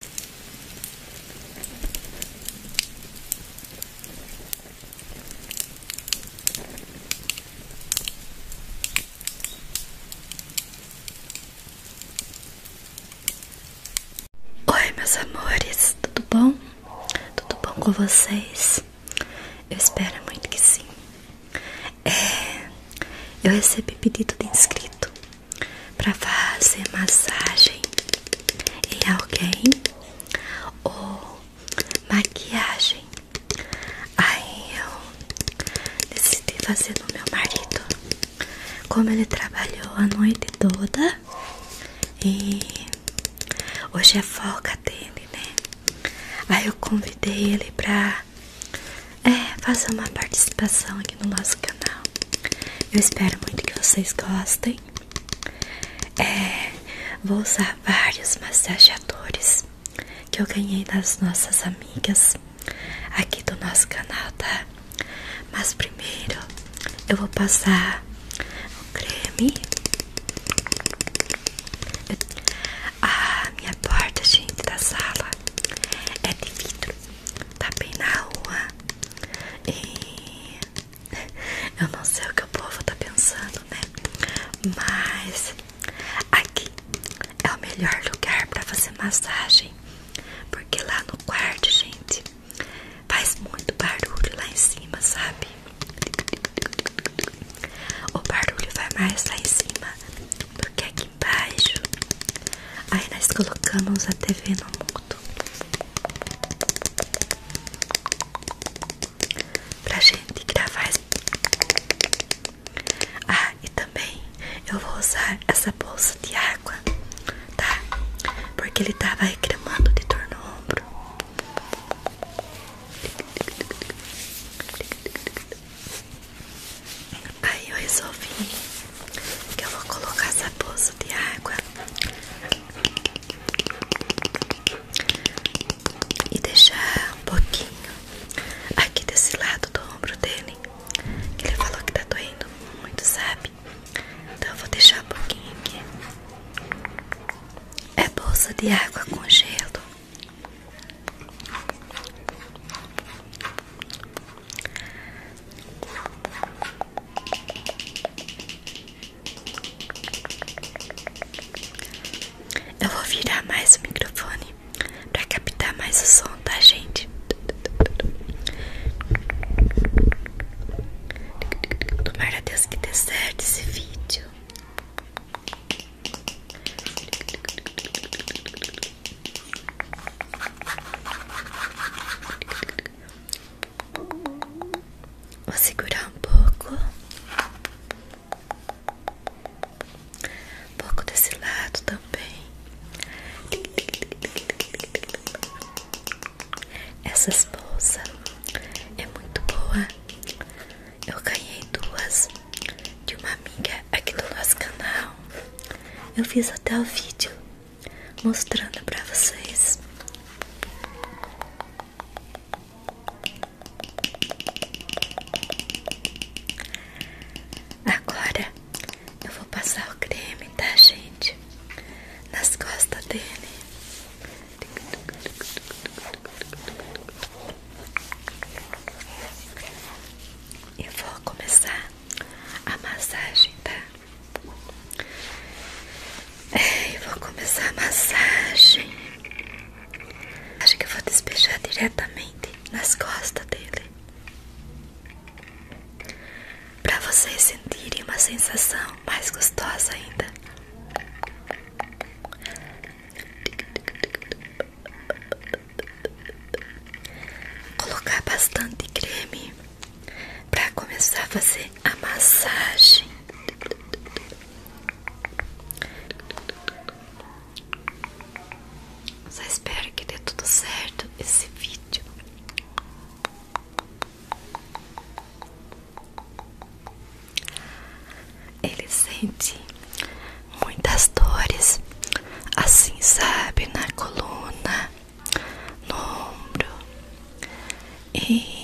Oi, meus amores, tudo bom? Tudo bom com vocês? Eu espero muito que sim. É, eu recebi pedido de inscrito para fazer massagem em alguém ou maquiagem. Aí eu decidi fazer no meu marido. Como ele trabalhou a noite toda e hoje é folga dele, né? Aí eu convidei ele pra é, fazer uma participação aqui no nosso canal. Eu espero muito que vocês gostem. É, vou usar vários massageadores que eu ganhei das nossas amigas aqui do nosso canal, tá? Mas primeiro eu vou passar o creme. Ah, minha porta, gente, da sala é de vidro. Tá bem na rua. eu não sei o que o povo tá pensando, né? Mas aqui é o melhor lugar para fazer massagem, porque lá no quarto, gente, faz muito barulho lá em cima, sabe? O barulho vai mais lá em cima do que aqui baixo. Aí nós colocamos a TV no mundo. Pra gente gravar. Ah, e também eu vou usar essa bolsa de água, tá? Porque ele tava tá reclamando de dor no ombro. Aí eu resolvi que eu vou colocar essa bolsa de água e deixar um pouquinho aqui desse lado do ombro dele. ele falou que tá doendo muito, sabe? Então eu vou deixar um pouquinho aqui. É bolsa de água com gelo. Eu vou virar mais o microfone para captar mais o som, tá, gente? Tomara a Deus que dê certo esse vídeo. Vou segurar um pouco, um pouco desse lado também. Essas bolsas é muito boa. Eu ganhei duas de uma amiga aqui do nosso canal. Eu fiz até o vídeo mostrando pra vocês. Agora eu vou passar o creme, tá, gente? Nas costas dele. Eu vou começar a massagem, tá? É, eu vou começar a massagem. Acho que eu vou despejar diretamente nas costas dele. Para vocês sentirem uma sensação mais gostosa ainda. Colocar bastante creme para começar a fazer a massagem. Só espero que dê tudo certo esse vídeo. Ele sente muitas dores assim, sabe, na coluna, no ombro e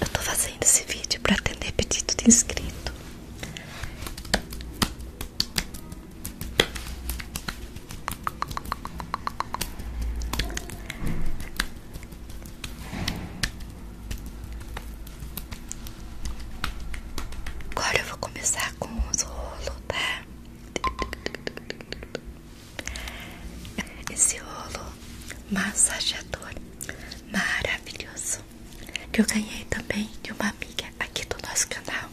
eu tô fazendo esse vídeo para atender pedido de inscrito. Agora eu vou começar com os rolos, tá? Esse rolo massageador maravilhoso que eu ganhei também de uma amiga aqui do nosso canal.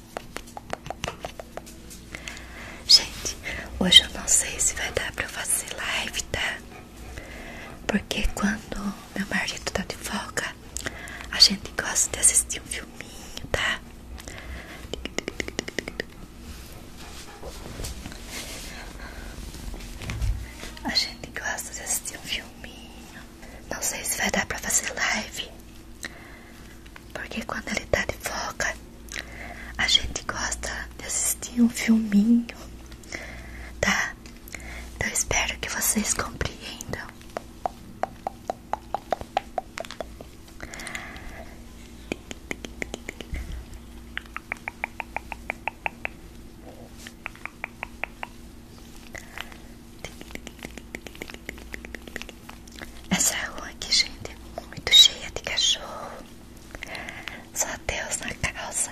Gente, hoje eu não sei se vai dar pra fazer live, tá? Porque quando meu marido tá de folga, a gente gosta de assistir um filminho, tá? A gente gosta de assistir um filminho. Não sei se vai dar pra fazer live. Porque quando ele tá de foca a gente gosta de assistir um filminho, tá? Então espero que vocês compreendam. Essa rua aqui, gente, é muito cheia de cachorro. Só Deus na calça.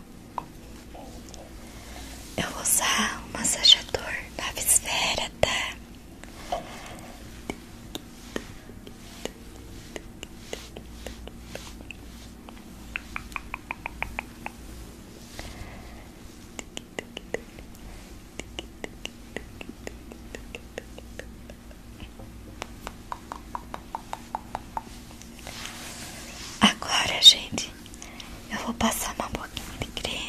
Eu vou usar um massajador na esfera, tá? Agora, gente, eu vou passar uma boquinha de creme.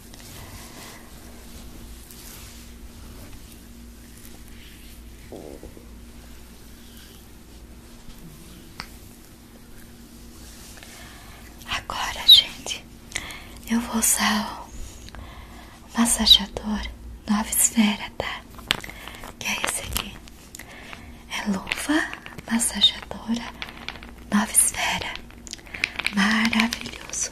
Agora, gente, eu vou usar o massageador nova esfera, tá? Que é esse aqui. É luva massajadora nova esfera. Maravilhoso.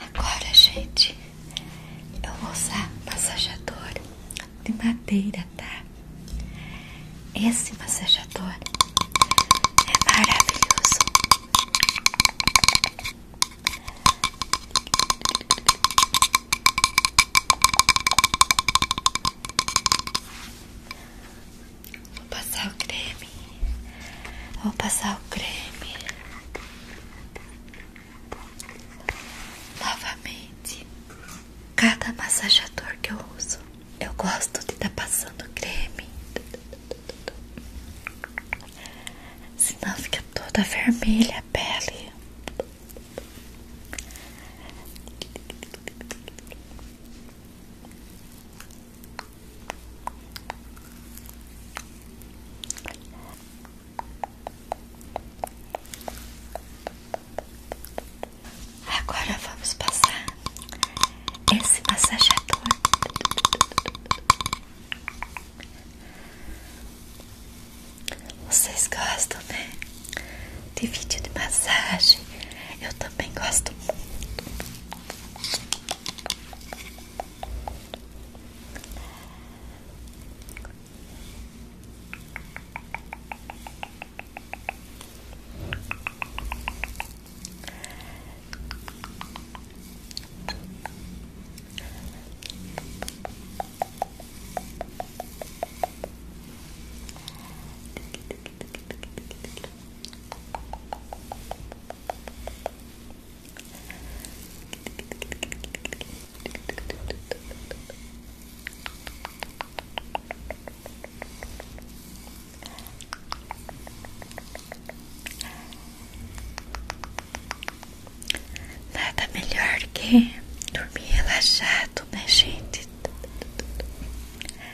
Agora, gente, eu vou usar massajador de madeira, tá? Esse massajador é maravilhoso. Vou passar o creme. Vou passar o creme. Novamente, cada massajador que eu uso, eu gosto de estar tá passando creme. Senão fica toda vermelha a pele. Agora vamos passar esse massajador. vocês gostam, né? de vídeo de massagem. Eu também gosto muito. Nada melhor que dormir relaxado, né, gente?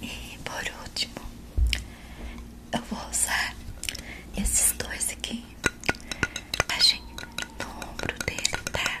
E por último, eu vou usar esses dois aqui. Achei no ombro dele, tá?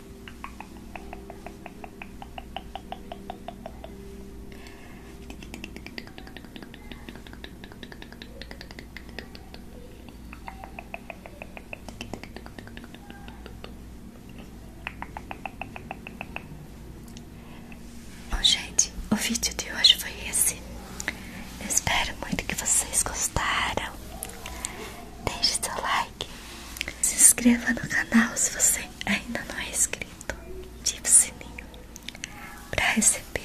Bom, gente, o vídeo de hoje foi esse. espero muito que vocês gostaram. Deixe seu like, se inscreva no canal se você ainda não é inscrito. Ative o sininho para receber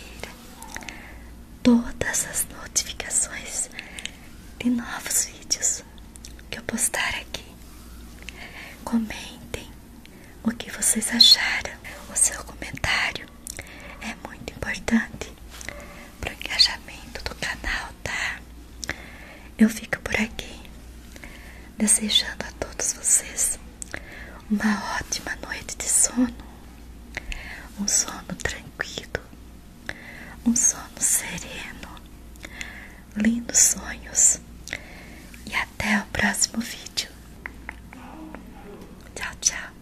todas as notificações de novos vídeos que eu postar aqui. Comentem o que vocês acharam. O seu comentário é muito importante pro engajamento do canal, tá? Eu fico por aqui, desejando a todos vocês uma ótima noite de sono, um sono tranquilo, um sono sereno, lindos sonhos e até o próximo vídeo. Tchau, tchau.